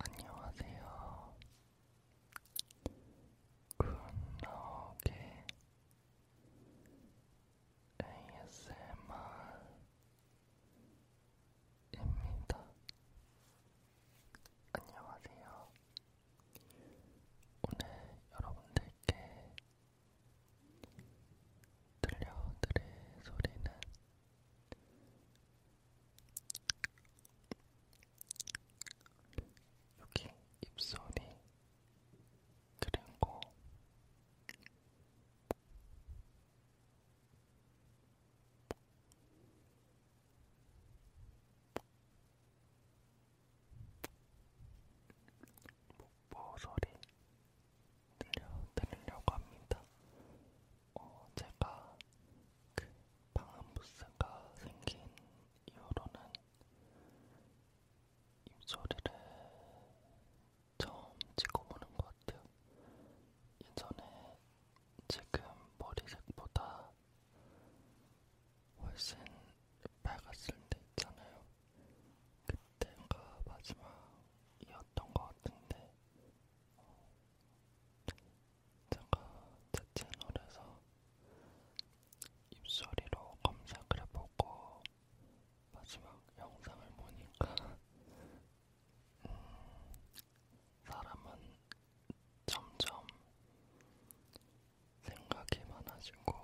안녕하세요. 굿나오게 ASMR 입니다. 안녕하세요. 오늘 여러분들께 들려드릴 소리는 여기 입소리 그리고 목보 소리 들려드리려고 합니다. 어, 제가 그 방음부스가 생긴 이후로는 입소리를 처음 찍어보는 것 같아요. 예전에 지금 머리색보다 훨씬 밝았을 때 있잖아요. 그때가 마지막이었던 것 같은데 어, 제가 제 채널에서 입소리로 검색을 해보고 마지막 영상을 보니까 사람은 점점 생각이 많아지고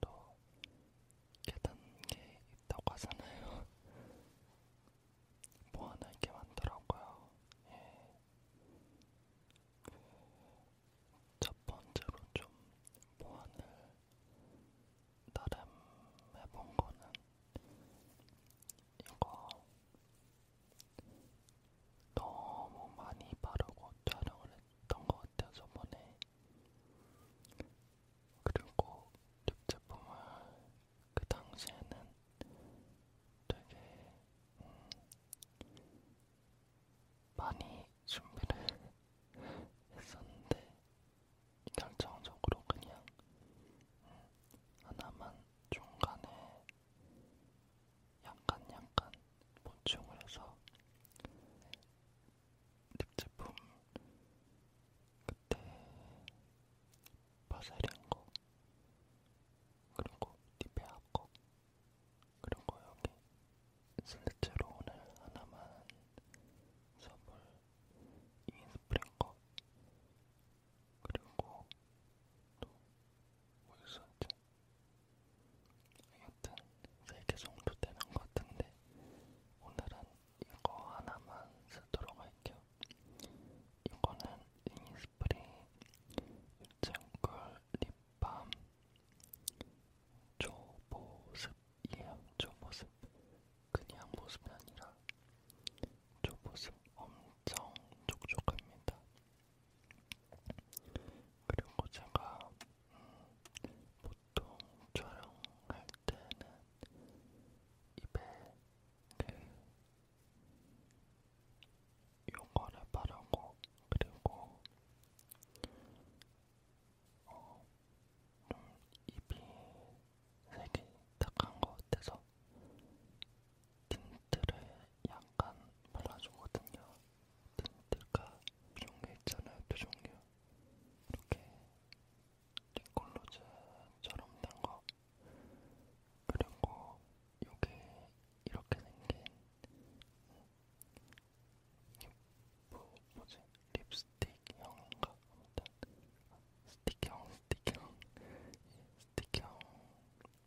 또 깨닫는 게 있다고 하잖아요. 뭐 하나 이렇게 많더라고요. 예. 그첫 번째로 좀 보안을 나름 해본 거는 이거 너무 많이 바르고 촬영을 했던 것 같아요, 저번에. 그리고 립 제품을 그 당시에는 되게 음, 많이 준비를 했었는데 결정적으로 그냥 음, 하나만 중간에 약간 약간 보충을 해서 립 제품 그때 바세린 거 그리고 립페아 거 그리고 여기 실제로 오늘 하나만 선물 인스프링거 그리고 또뭐 있었지? 하여튼 세개 정도 되는 것 같은데 오늘은 이거 하나만 쓰도록 할게요. 이거는 이니스프리 유채꿀 립밤 초보습이에요. 초보습 그냥 모습이 아니라 저 모습 엄청 촉촉합니다. 그리고 제가 음, 보통 촬영할 때는 입에 그 요거를 바르고 그리고 어, 입이 색이 탁한 것 같아서 틴트를 약간 발라주거든요. 틴트가 두 종류 있잖아요, 두 종류. 이렇게 립글로즈처럼 된 거. 그리고 요게 이렇게 생긴 음, 뭐, 뭐지? 립스틱형인가? 스틱형, 스틱형, 스틱형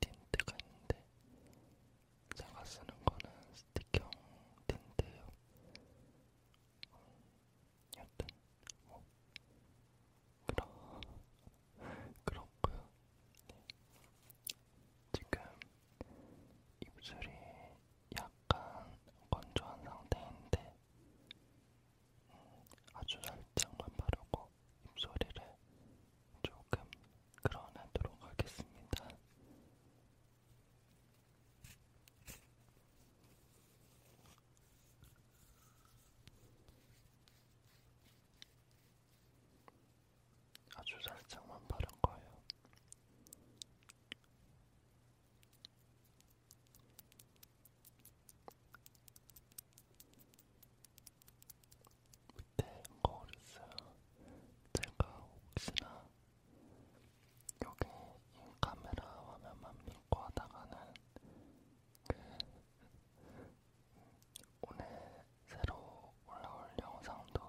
틴트가 있는데 제가 쓰는 거는 스틱형 틴트예요. 여튼 뭐 그런 그렇고요. 네. 지금 입술이 약간 건조한 상태인데 아주 살짝만 바르고 입소리를 조금 끌어내도록 하겠습니다. 아주 살짝만 바른 거예요. 밑에 거울 있어요. 제가 혹시나 여기 이 카메라 화면만 믿고 하다가는 그 오늘 새로 올라올 영상도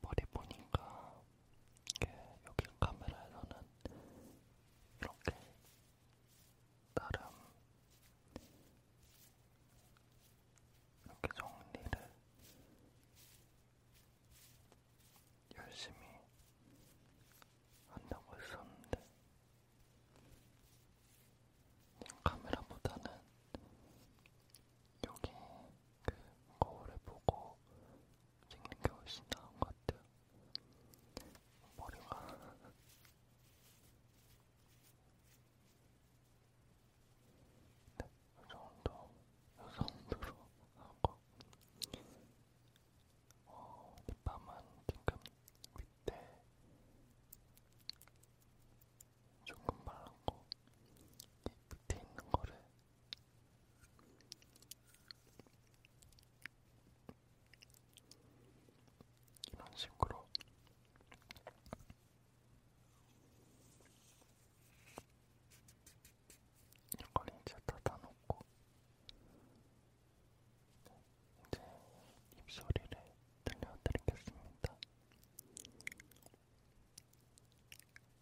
머리 보니까 이게 여기 카메라에서는 이렇게 나름 이렇게 정리를 열심히 한다고 했었는데 카메라보다는 여기 그 거울을 보고 찍는 게 훨씬 나은 것 같아요. 머리가 네, 이 정도 이 정도로 하고 어, 립밤은 지금 밑에 조금 발랐고 이 밑에 있는 거를 이런 식으로 이걸 이제 닫아놓고 네, 이제 입소리를 들려드리겠습니다.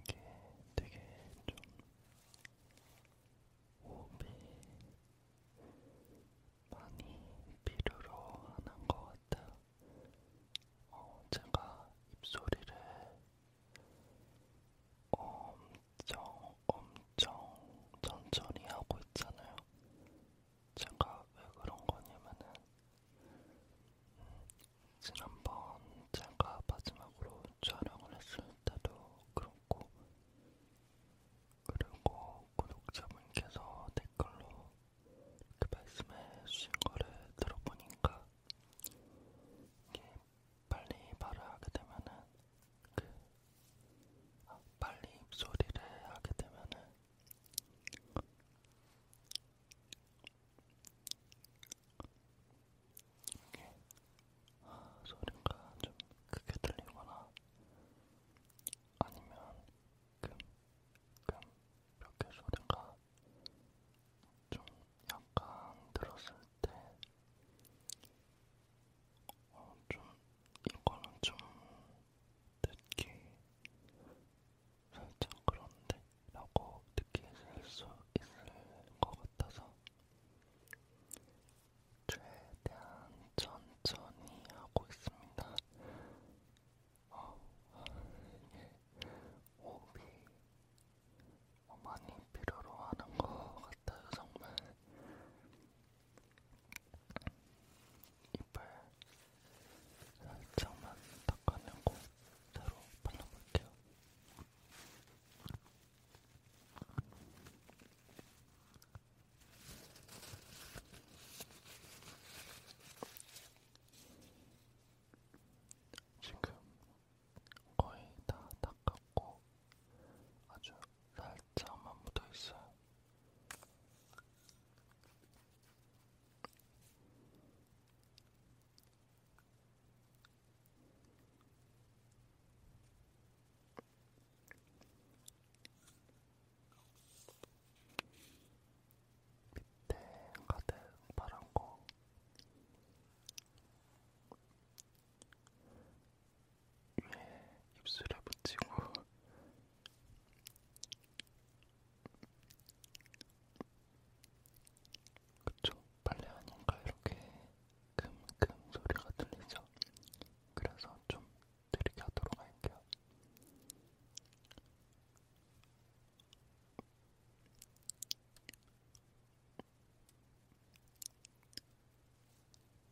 이게 되게 좀 호흡이 많이 필요로 하는 것 같아요. 어, 제가 입소리를 엄청 엄청 천천히 하고 있잖아요. 제가 왜 그런 거냐면은 음, 지난번 제가 마지막으로 촬영을 했을 때도 그렇고 그리고 구독자분께서 댓글로 이렇게 말씀해 주신 거를 들어보니까 이게 빨리 말을 하게 되면은 그 아, 빨리 입소리를 하게 되면은 이게 아, 소리가 좀 크게 들리거나 아니면 금금몇개 소리가 좀 약간 들었을 때. 어, 좀, 이거는 좀 듣기 살짝 그런데? 라고 느끼실 수 있을 것 같아서 최대한 천천히 하고 있습니다. 어, 이게 호흡이 많이 필요로 하는 것 같아요, 정말. 이빨 살짝만 닦아내고 따로 발라볼게요. 지금 거의 다 닦았고 아주 살짝만 묻어있어요. 밑에 가득 파란 거 위에 입술에 붙이고 그쵸? 빨래 하니까 이렇게 금금 소리가 들리죠? 그래서 좀 느리게 하도록 할게요.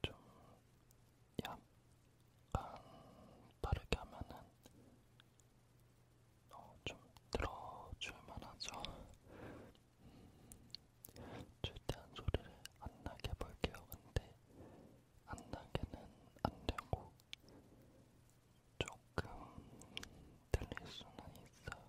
좀 약간 빠르게 하면은 어, 좀 들어줄만 하죠. 음, 최대한 소리를 안 나게 볼게요. 근데 안 나게는 안 되고 조금 들릴 수는 있어요.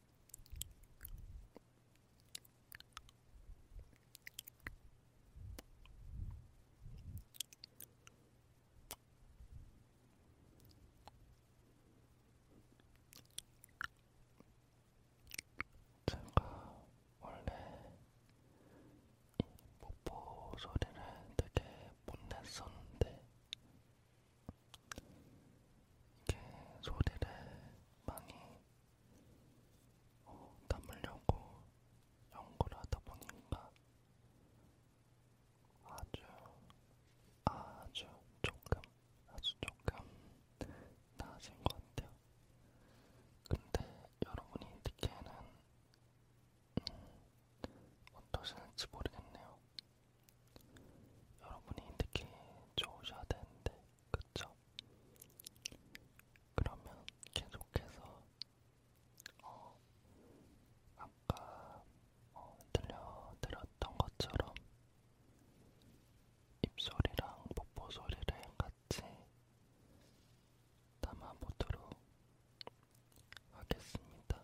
제가 원래 목포 소리를 되게 못 냈었는데 이게 소리를 많이 어, 담으려고 연구를 하다 보니까 아주 아주 조금 아주 조금 나아진 것 같아요. 근데 여러분이 느끼에는 음, 어떠실지 모르겠네요. 여러분이 느끼 좋으셔야 되는데 그쵸? 그러면 계속해서 어, 아까 어, 들려드렸던 것처럼 입소리랑 뽀뽀 소리를 같이 담아보도록 하겠습니다.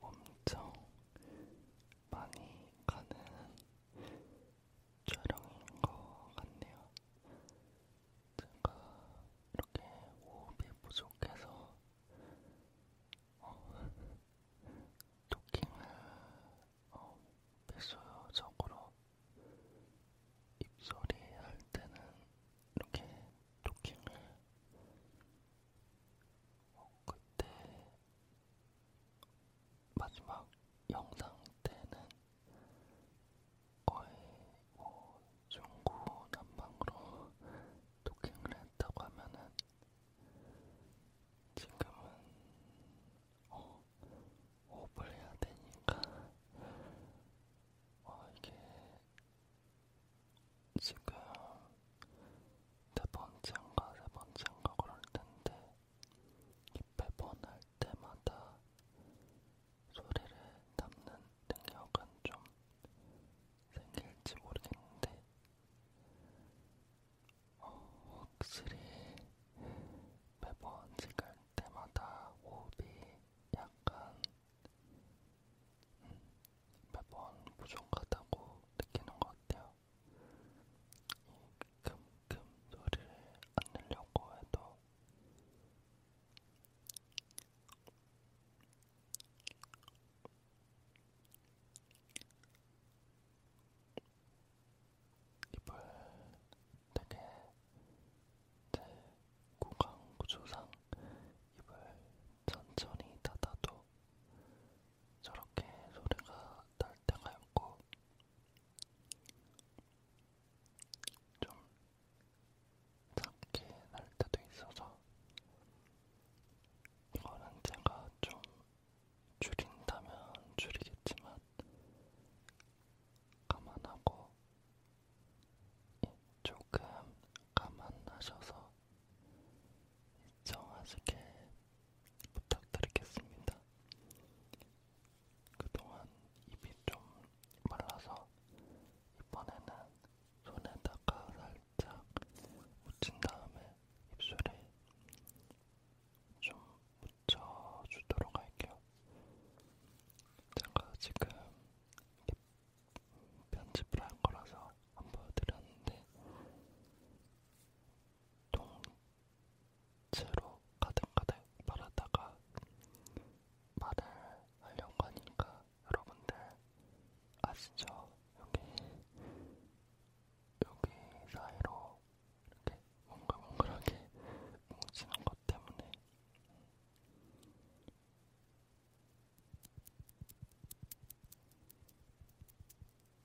호흡이 엄청 많이 가는 촬영인 것 같네요. 제가 이렇게 호흡이 부족해서 어, 토킹을 어, 비수적으로 입소리 할 때는 이렇게 토킹을 어, 그때 마지막 영상 때는 거의 뭐 중구 남방으로 도킹을 했다고 하면은 지금은 어, 호흡을 해야 되니까 어, 이게 지금 네 번째인가 세 번째인가 그럴 텐데 이배번할 때마다 소리를 담는 능력은 좀 생길지 모르겠는데, 어, 확실히 매번 찍을 때마다 호흡이 약간 음, 매번 부족하다고 느끼는 것 같아요. 금금 소리를 안 내려고 해도 입을 되게 제 구강 구조상 입을 천천히 닫아도 저렇게 소리가 날 때가 있고 좀 작게 날 때도 있어서 이거는 제가 좀 줄인다면 줄이겠지만 감안하고 예, 조금 감안하셔서 시청하시길 부탁드리겠습니다. 그동안 입이 좀 말라서 이번에는 손에다가 살짝 묻힌 다음에 입술에 좀 묻혀주도록 할게요. 제가 지금 편집을 할 거라서 안 보여드렸는데 통째로 가득가득 말하다가 말을 하려고 하니까 여러분들 아시죠? 여기 여기 사이로 이렇게 몽글몽글하게 뭉치는 것 때문에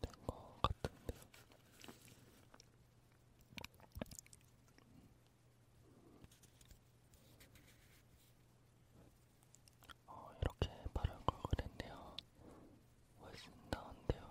된것 같은데. 어, 이렇게 바른 걸 그랬네요. 훨씬 나은데요.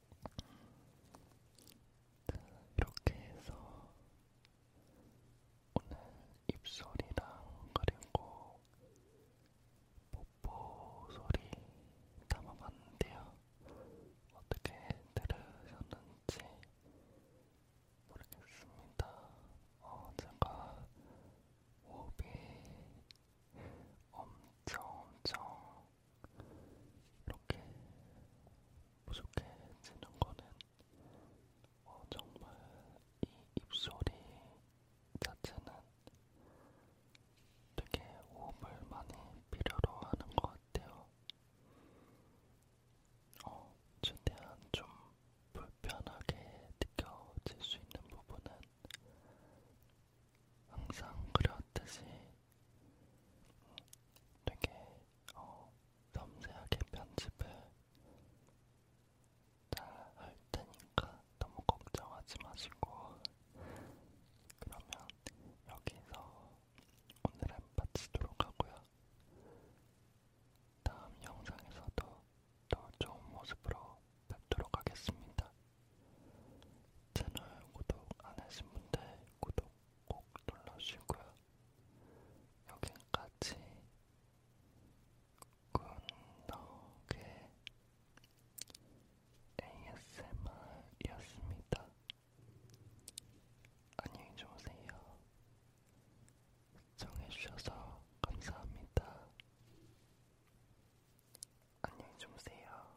자, 이렇게 해서 오늘 입소리랑 그리고 뽀뽀 소리 담아봤는데요. 어떻게 들으셨는지 모르겠습니다. 어, 제가 호흡이 엄청 엄청 이렇게 부족해지는 거는 어, 정말 이 입소리 자체는 되게 호흡을 많이 필요로 하는 것 같아요. 어, 최대한 좀 불편하게 느껴질 수 있는 부분은 항상 그렸듯이 되게 어, 섬세하게 편집을 다할 테니까 너무 걱정하지 마시고 그러면 여기서 오늘은 마치도록 하고요. 다음 영상에서도 더 좋은 모습으로 뵙도록 하겠습니다. 채널 구독 안 하신 분들 구독 꼭 눌러주시고요. 여기까지 굿넉의 ASMR이었습니다. 안녕히 주무세요. 시청해주셔서 감사합니다. 안녕히 주무세요.